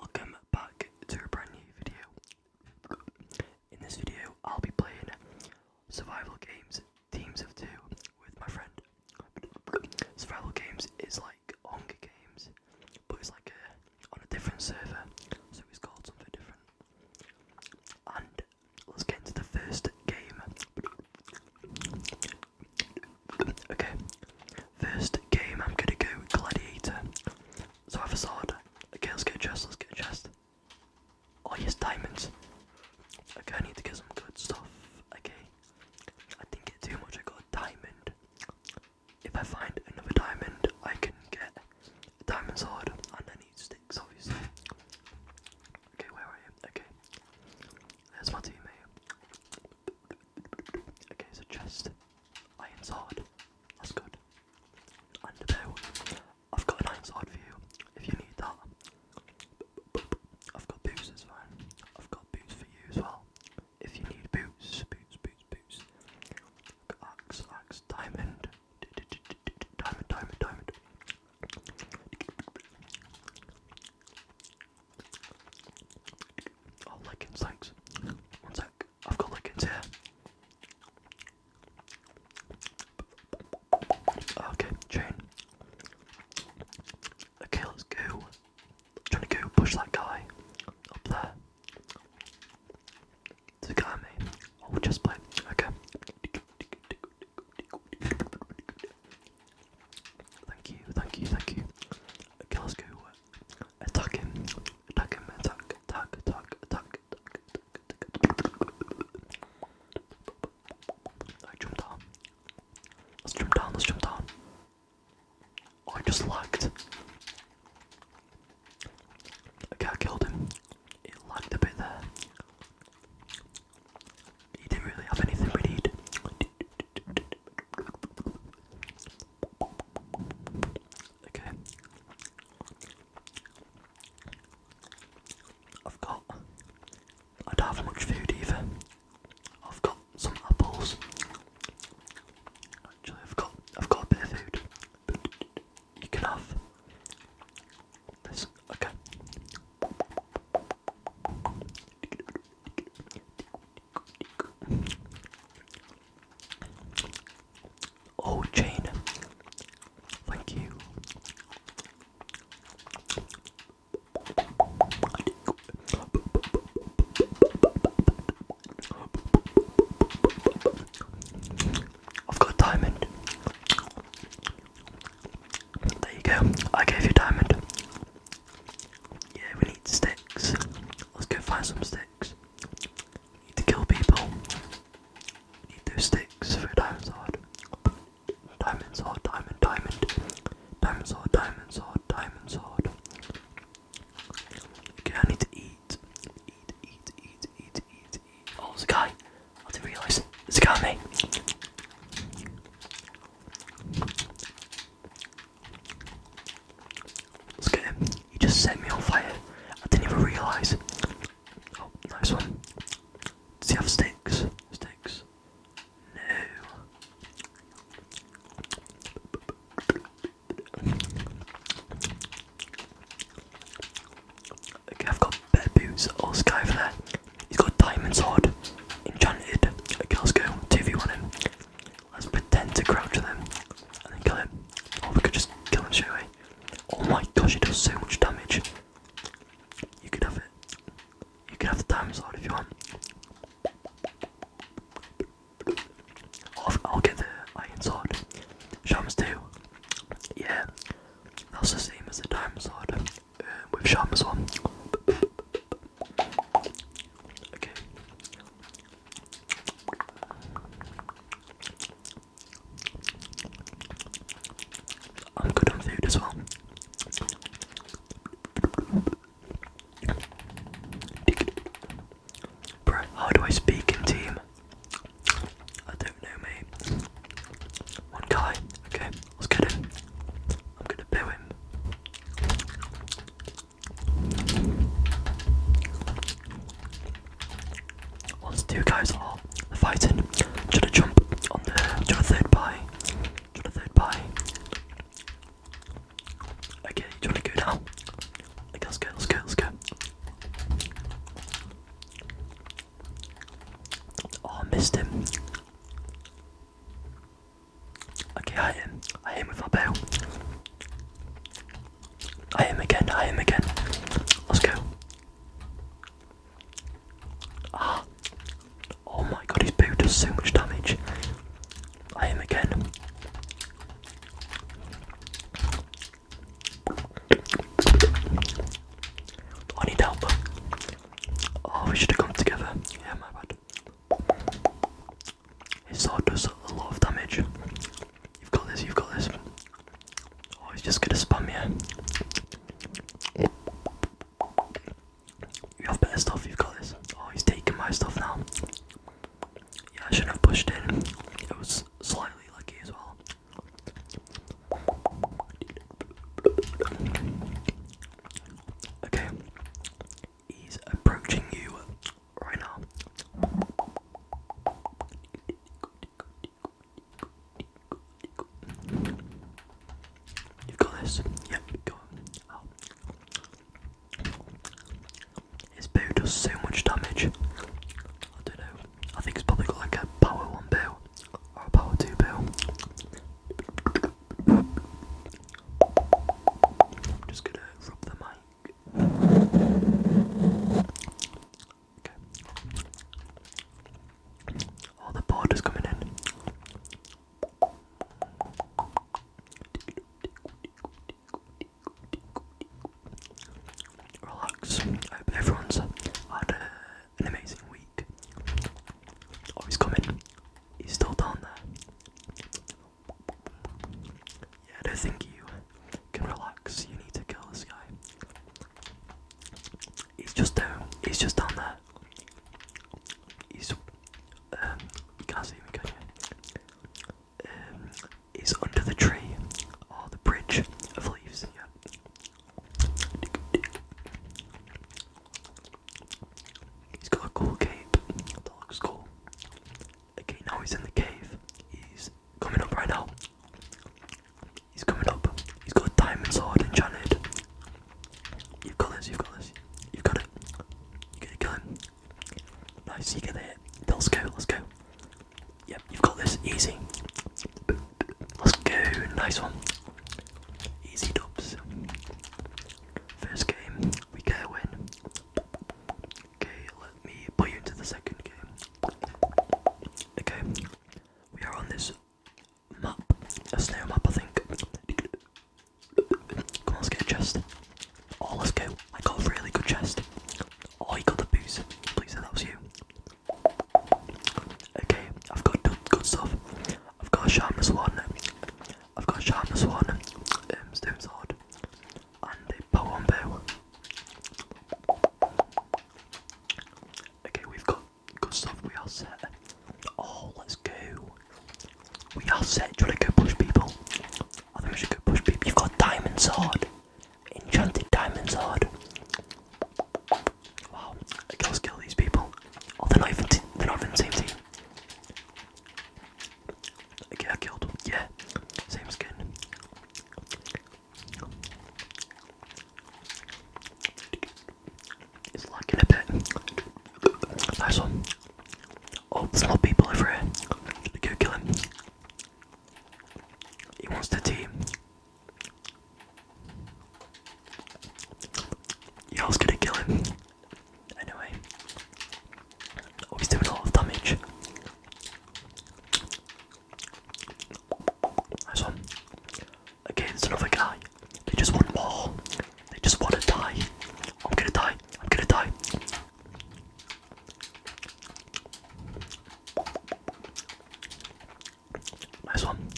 Welcome back to a brand new video. In this video, I'll be playing survival games, teams of two, with my friend. Survival games is like Hunger Games, but it's like on a different server, so it's called something different. And let's get into the first game. Okay, First game, I'm gonna go Gladiator. So I have a sword. Okay, let's get a chest, let's get a chest. Oh yes, diamonds. Okay, I need to get some good stuff. Okay. I didn't get too much, I got a diamond. If I find another diamond, I can get a diamond sword and I need sticks, obviously. Okay, where are you? Okay. There's my teammate. Okay, so chest. Iron's hard. That's good. And now, I've got an Iron's hard for you, if you need that. I've got boots as well. I've got boots for you as well. If you need boots, boots, boots, boots. Axe, axe, diamond. Diamond, diamond, diamond. Oh, like in One sec. I've got lichens here. Okay, chain. Okay, let's go. trying to go push that guy up there. There's a guy on me. Oh, just play. Okay. Thank you, thank you, thank you. Okay, let's go attack him, attack him, attack, attack, attack, attack, attack, I jump down. Let's jump down, let's jump down. Oh, I just lagged. Okay, I killed him. It lagged a bit there. He didn't really have anything we need. Okay. I've got. I don't have much food either. I've got some apples. Actually, I've got. I've got a bit of food. But this. Okay. Oh, Jane, thank you. I've got a diamond. There you go. I gave you a diamond. Yeah, we need sticks. Let's go find some sticks. We need to kill people. We need those sticks for a diamond sword. Diamond sword, diamond, diamond. Diamond sword, diamond sword, diamond sword. Okay, I need to eat. Eat, eat, eat, eat, eat, eat. Oh, there's a guy. I didn't realise. There's a guy, mate. Let's get him. You just set me on fire. I didn't even realise. Oh, nice one. Does you have sticks? Sticks? No. Okay, I've got better boots. Oh, this over there. He's got a diamond sword. Enchanted. Okay, let's go. 2v1 him. Let's pretend to crouch them and then kill him. Or we could just kill him straight away. Oh my gosh, he does so much damage. You could have it. You could have the diamond sword if you want. I'll, get the iron sword. Shamus too. Yeah, that's the same as the diamond sword um, with Shamus one. Okay, I'm good on food as well. Bro, how do I speak in team? I don't know, mate. One guy. Okay, let's get him. I'm gonna boo him. Once two guys are fighting, trying to jump on the trying to third pie, trying the third pie. Okay, do you want to go down. Okay, let's go, let's go, let Oh, I missed him. Okay, I hit I hit with my bow. I am again, I am again. Let's go. Ah. Oh my god, his bow does so much damage. I am again. I need help. Oh, we should have come together. Yeah, my bad. His sword does a lot of damage. You've got this, you've got this. Oh, he's just gonna spam you. You have better stuff, you've got this. Oh, he's taking my stuff now. Yeah, I shouldn't have pushed in. I was slightly lucky as well. Okay, He's approaching you right now. you got this. Yep, go on. His bow does so much damage. I don't know. I think it's probably got like a power one bow or a power two bow. I'm just gonna rub the mic all the borders coming in. I hope everyone's had an amazing week. Oh, coming. He's still down there. Yeah, I don't think you can relax. You need to kill this guy. He's just down. Uh, he's just down there. He's um. You can't see him, Um. He's under the tree or oh, the bridge of leaves. Yeah. He's got a cool cape. That looks cool. Okay, now he's in the cave. He's coming up right now. He's coming up. He's got a diamond sword enchanted. You've got this, you've got this. You've got it. You're going Nice, you get the hit. let's go, let's go. Yep, you've got this. Easy. Let's go. Nice one. Easy dubs. First game, we go win. Okay, me put you into the second game. Okay, we are on this map, a snail map, I think. Come on, let's get a chest. Oh, let's go. I got a really good chest. Oh, you got the boots. Please say that was you. Okay, I've got good stuff. I've got a sharpness one. I've got a sharpness one. Um, stone hard and a poem bow. Okay, we've got good stuff, we are set. Oh, let's go. We are set. Do you want to go push people? I think we should go push people. You've got diamond sword. Enchanted diamond sword. Wow. Okay, let's kill these people. Oh, they're not even, they're not even the same team. Get killed. Yeah, same skin. Nice one. Oh, there's a lot of people over here. Go kill him. He wants the team. Y'all's gonna kill him. Anyway. Oh, he's doing a lot of damage. Nice one. Against another guy. They just want more. They just want to die. I'm gonna die. I'm gonna die. Nice one.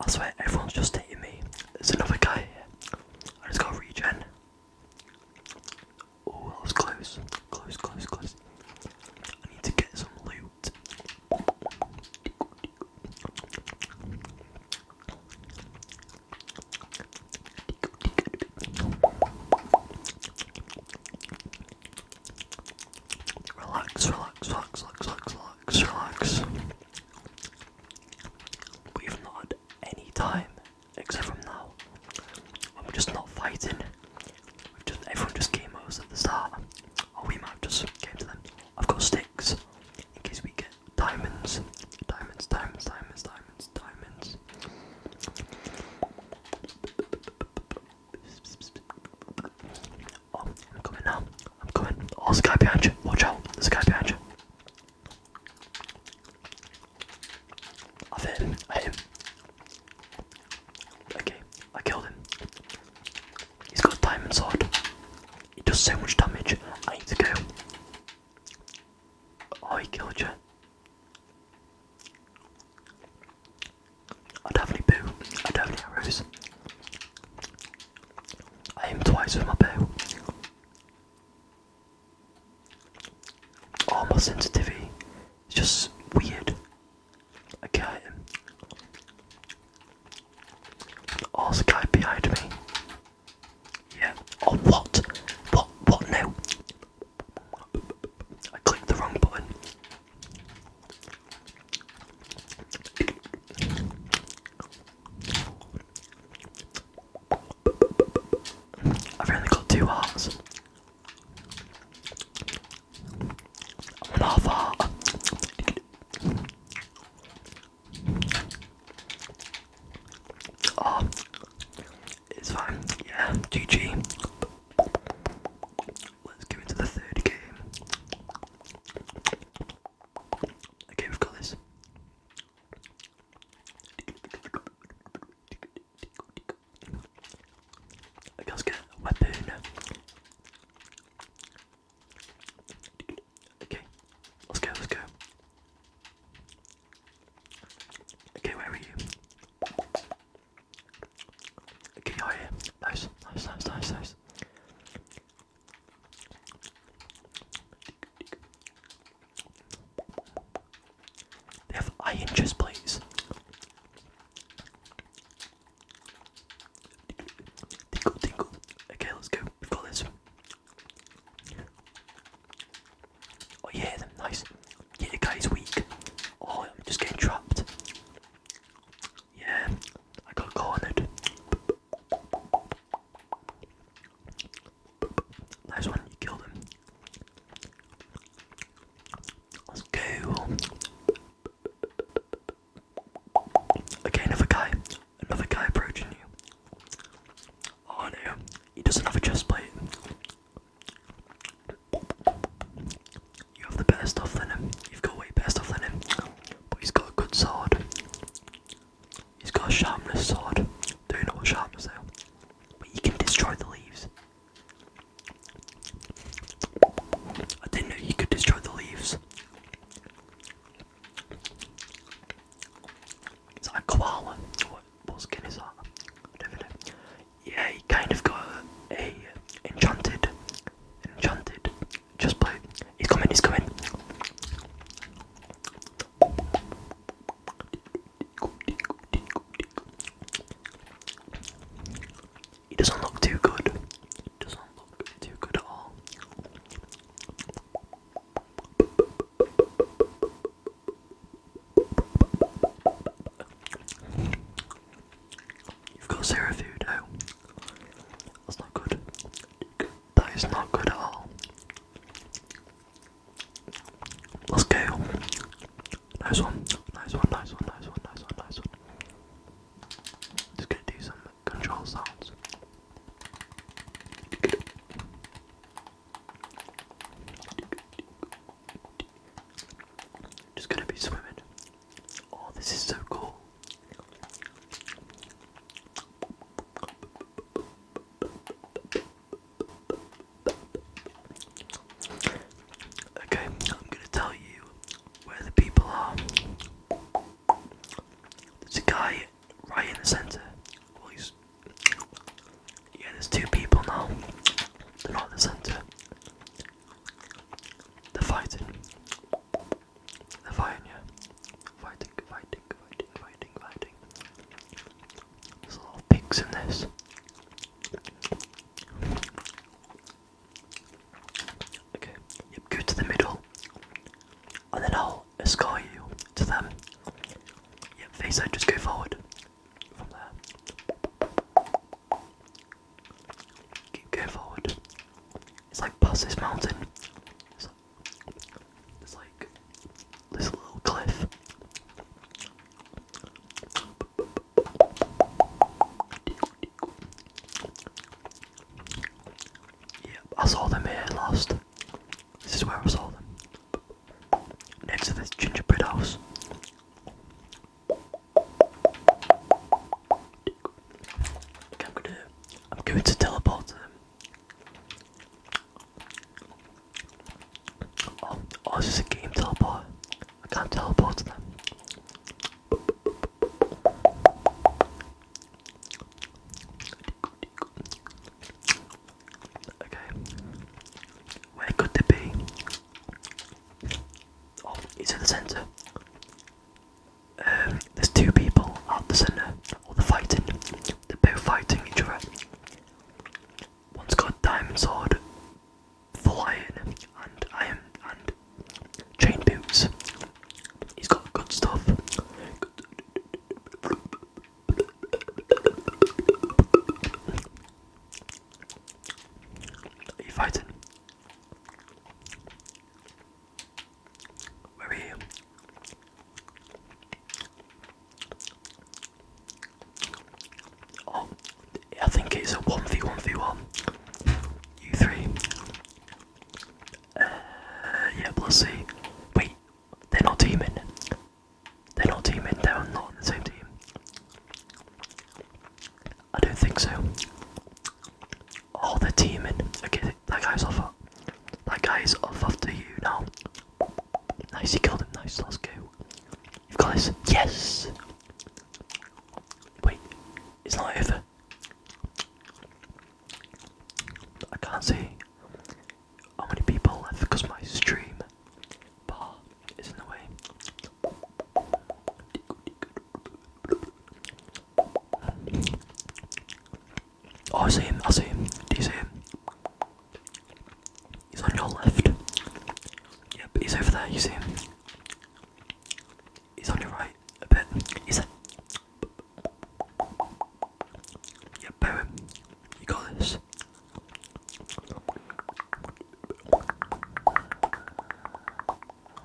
I swear, everyone's just hitting me. There's another guy here. I just got regen. Oh, it's was close. Close, close, close. I need to get some loot. Relax, relax, relax, relax, relax, relax, We've not any time except from now. I'm just not fighting. We've just everyone just came us at the start. Or we might just came to them. I've got sticks in case we get diamonds. Diamonds, diamonds, diamonds, diamonds, diamonds. Oh, I'm coming now. I'm coming. Oh, there's a behind you. Watch out. There's behind you. I've hit him. I Okay, I killed him. He's got a diamond sword. He does so much damage. I need to go. Oh, he killed you. I do bow. I do arrows. aim twice with my bow. All my sensitivity its just weird. I Oh, sky behind me. Yeah. Oh, what? What? What now? I clicked the wrong button. I've only got two hearts. One half heart. Oh, it's fine. Yeah, GG. Let's go into the third game. Okay, we've got this. Ganska weapon. Okay, let's go, let's go. Okay, where are you? Okay, you're Nice, nice, nice, nice, nice have iron chest plates. Tingle, tingle. Okay, let's go. We've got this. Oh yeah, them nice. Yeah, the guy's weak. Oh, I'm just getting trapped. Yeah, I got cornered. Nice one, you killed him. Let's go. Okay, another guy. Another guy approaching you. Oh no, he doesn't have a chest plate. You have the better stuff than him. You've got way better stuff than him. But he's got a good sword. He's got a sharpness sword. They're not sharp so but you can destroy the leaves. I didn't know you could destroy the leaves. It's like a koala. What, what skin is that? Yeah, you kind of got a, enchanted, enchanted. Just play. He's coming. He's coming. It doesn't look too good. You've got zero food That's not good. That is not good at all. Let's go. Nice one. Nice one, nice one, nice one, nice one, nice one. Just gonna do some control sounds. Just gonna be swimming. Oh, this is so cool. Okay, I'm gonna tell you where the people are. There's a guy right in the center. Yeah, there's two people now. They're not in the center. They're fighting. They're fighting, yeah. Fighting, fighting, fighting, fighting, fighting. There's a lot of pinks in this. Okay, yep, go to the middle. And then I'll escort you to them. Yep, face out, just go forward. From there. Keep going forward. It's like past this mountain. it's like this little cliff. Yeah, I saw them here last. This is where I saw them. Next to this gingerbread house. I'm gonna I'm going to teleport to them. Oh, oh, it's just a game teleport. I can't teleport them. Okay. Where could they be? Oh, it's in the centre. Um, there's two people at the centre. Or oh, fighting. They're both fighting each other. One's called Diamond Sword, Full Iron, and Iron and Chain Boots. He's got good stuff. Are you fighting? Where are you? Oh, I think it's a 1v1v1. You three. Uh, yeah, let's see. Wait, they're not teaming. They're not teaming, they're not on the same team. I don't think so. Oh, they're teaming. Okay, that guy's off. That guy's off after you now. Nice, he killed him. Nice, let's go. You've got this. Yes! Wait, it's not over. I can't see how many people left because my stream bar is in the way. Oh, I see him. I see him. Do you see him? He's on your left. Yep, he's over there, you see him. He's on your right a bit. He's there. Yep, You got this.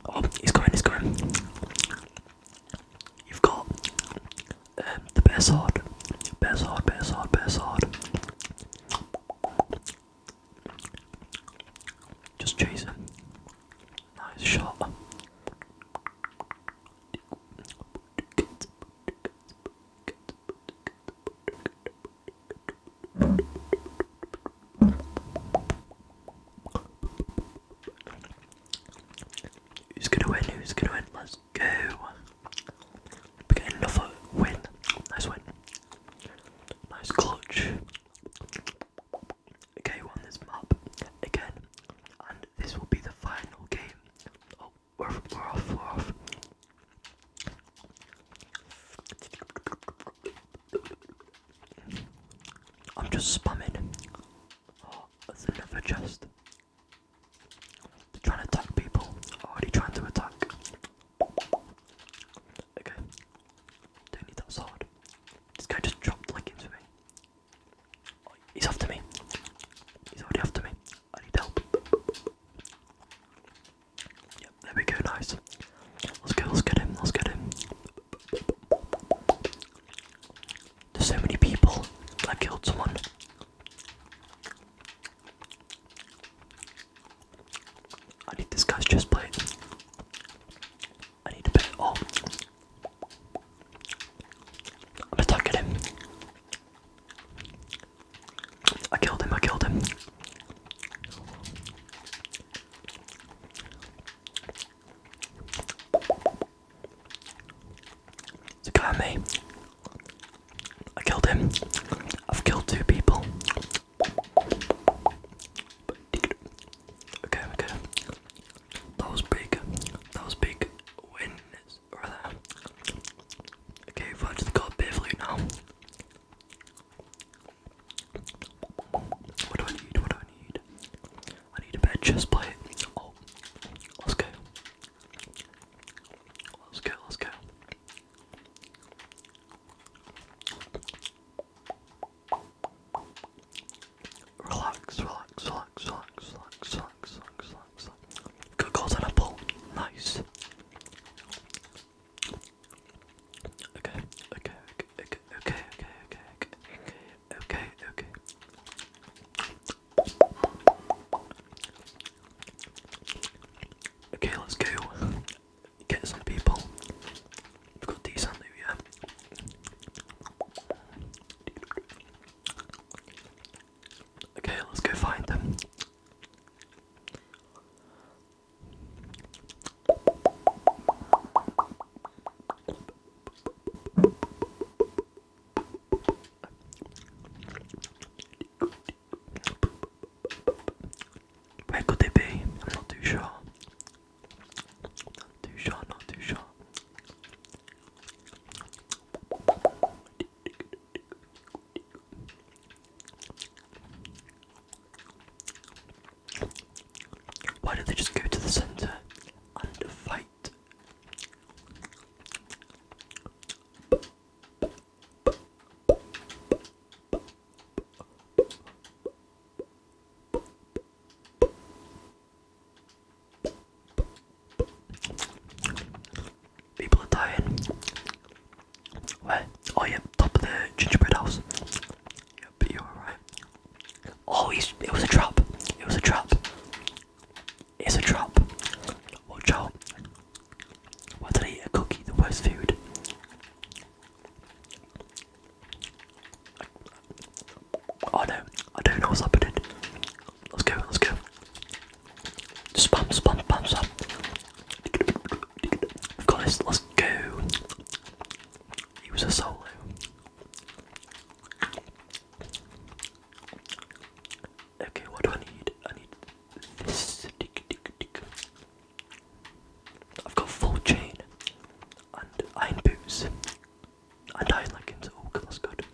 Oh, he's going, he's going. You've got um, the best sword. Best sword, Best sword, Best sword. Just chase him. Nice shot. Who's gonna win? Who's gonna win? Let's go. We get another win. Nice win. Nice clutch. Okay, on this map again, and this will be the final game. Oh, we're, off, we're off. I'm just spamming. Oh, that's another chest. They're trying to attack people. Already trying to attack. Okay. Don't need that sword. This guy just dropped like into me. he's after me. He's already after me. I need help. Yep, there we go, nice. Let's go, let's get him, let's get him. There's so many people. I killed someone. I need this guy's chest plate. I need a bit. Oh. I'm attacking him. I killed him, I killed him. It's a guy on I killed him. I've killed two people. Okay, okay. That was big. That was big. Okay, we've actually got now. What do I need? What do I need? I need a better chest plate. Oh, let's go. Let's go, let's go. Relax, relax, relax, relax, relax, relax, relax, relax. Cocoa's and apple, nice. Okay, okay, okay, okay, okay, okay, okay, okay, okay, okay. Okay, let's go get some people. We've got decent here. Okay, let's go find them. Where could they be? I'm not too sure. Not too sure, not too sure. Why don't they just go to the center and fight? People are dying. Where? Oh yeah, top of the gingerbread house. Yeah, but you're right. Oh, it was a trap. It was a trap. It's a trap. Watch out. Why did I eat a cookie? The worst food. Oh no, I don't know what's happening. Let's go, let's go. Spam, spam, spam, spam. We've let's go. He was a solo. Okay, what do I need? I need this. I've got full chain and iron boots and iron leggings. Oh, that's good.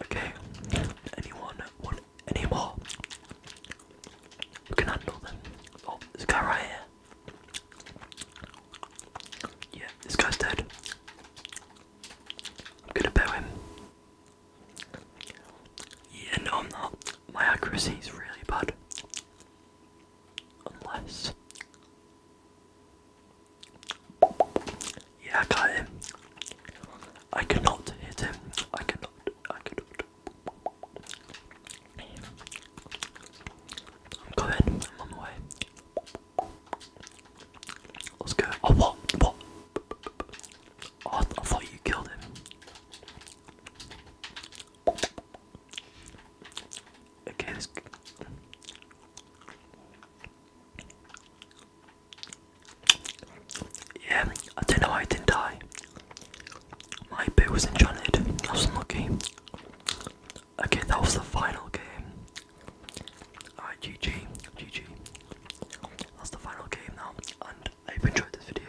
Okay, anyone want anymore. You can handle them. Oh, this guy right here. Yeah, this guy's dead. I'm gonna bow him. Yeah, no, I'm not. My accuracy is really bad. Unless. Yeah, I got him. I cannot hit him. I cannot. I cannot. I'm going. I'm on the way. Let's go. Oh, what? What? Oh, I, th I thought you killed him. Okay, this. Yeah, I don't know why I didn't die. My bit was enchanted. I was unlucky. Okay, that was the final game. Alright, GG. GG. That's the final game now. And I hope enjoyed this video.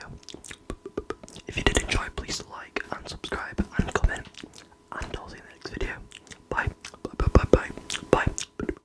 If you did enjoy, please like and subscribe and comment. And I'll see you next video. Bye bye bye bye. Bye.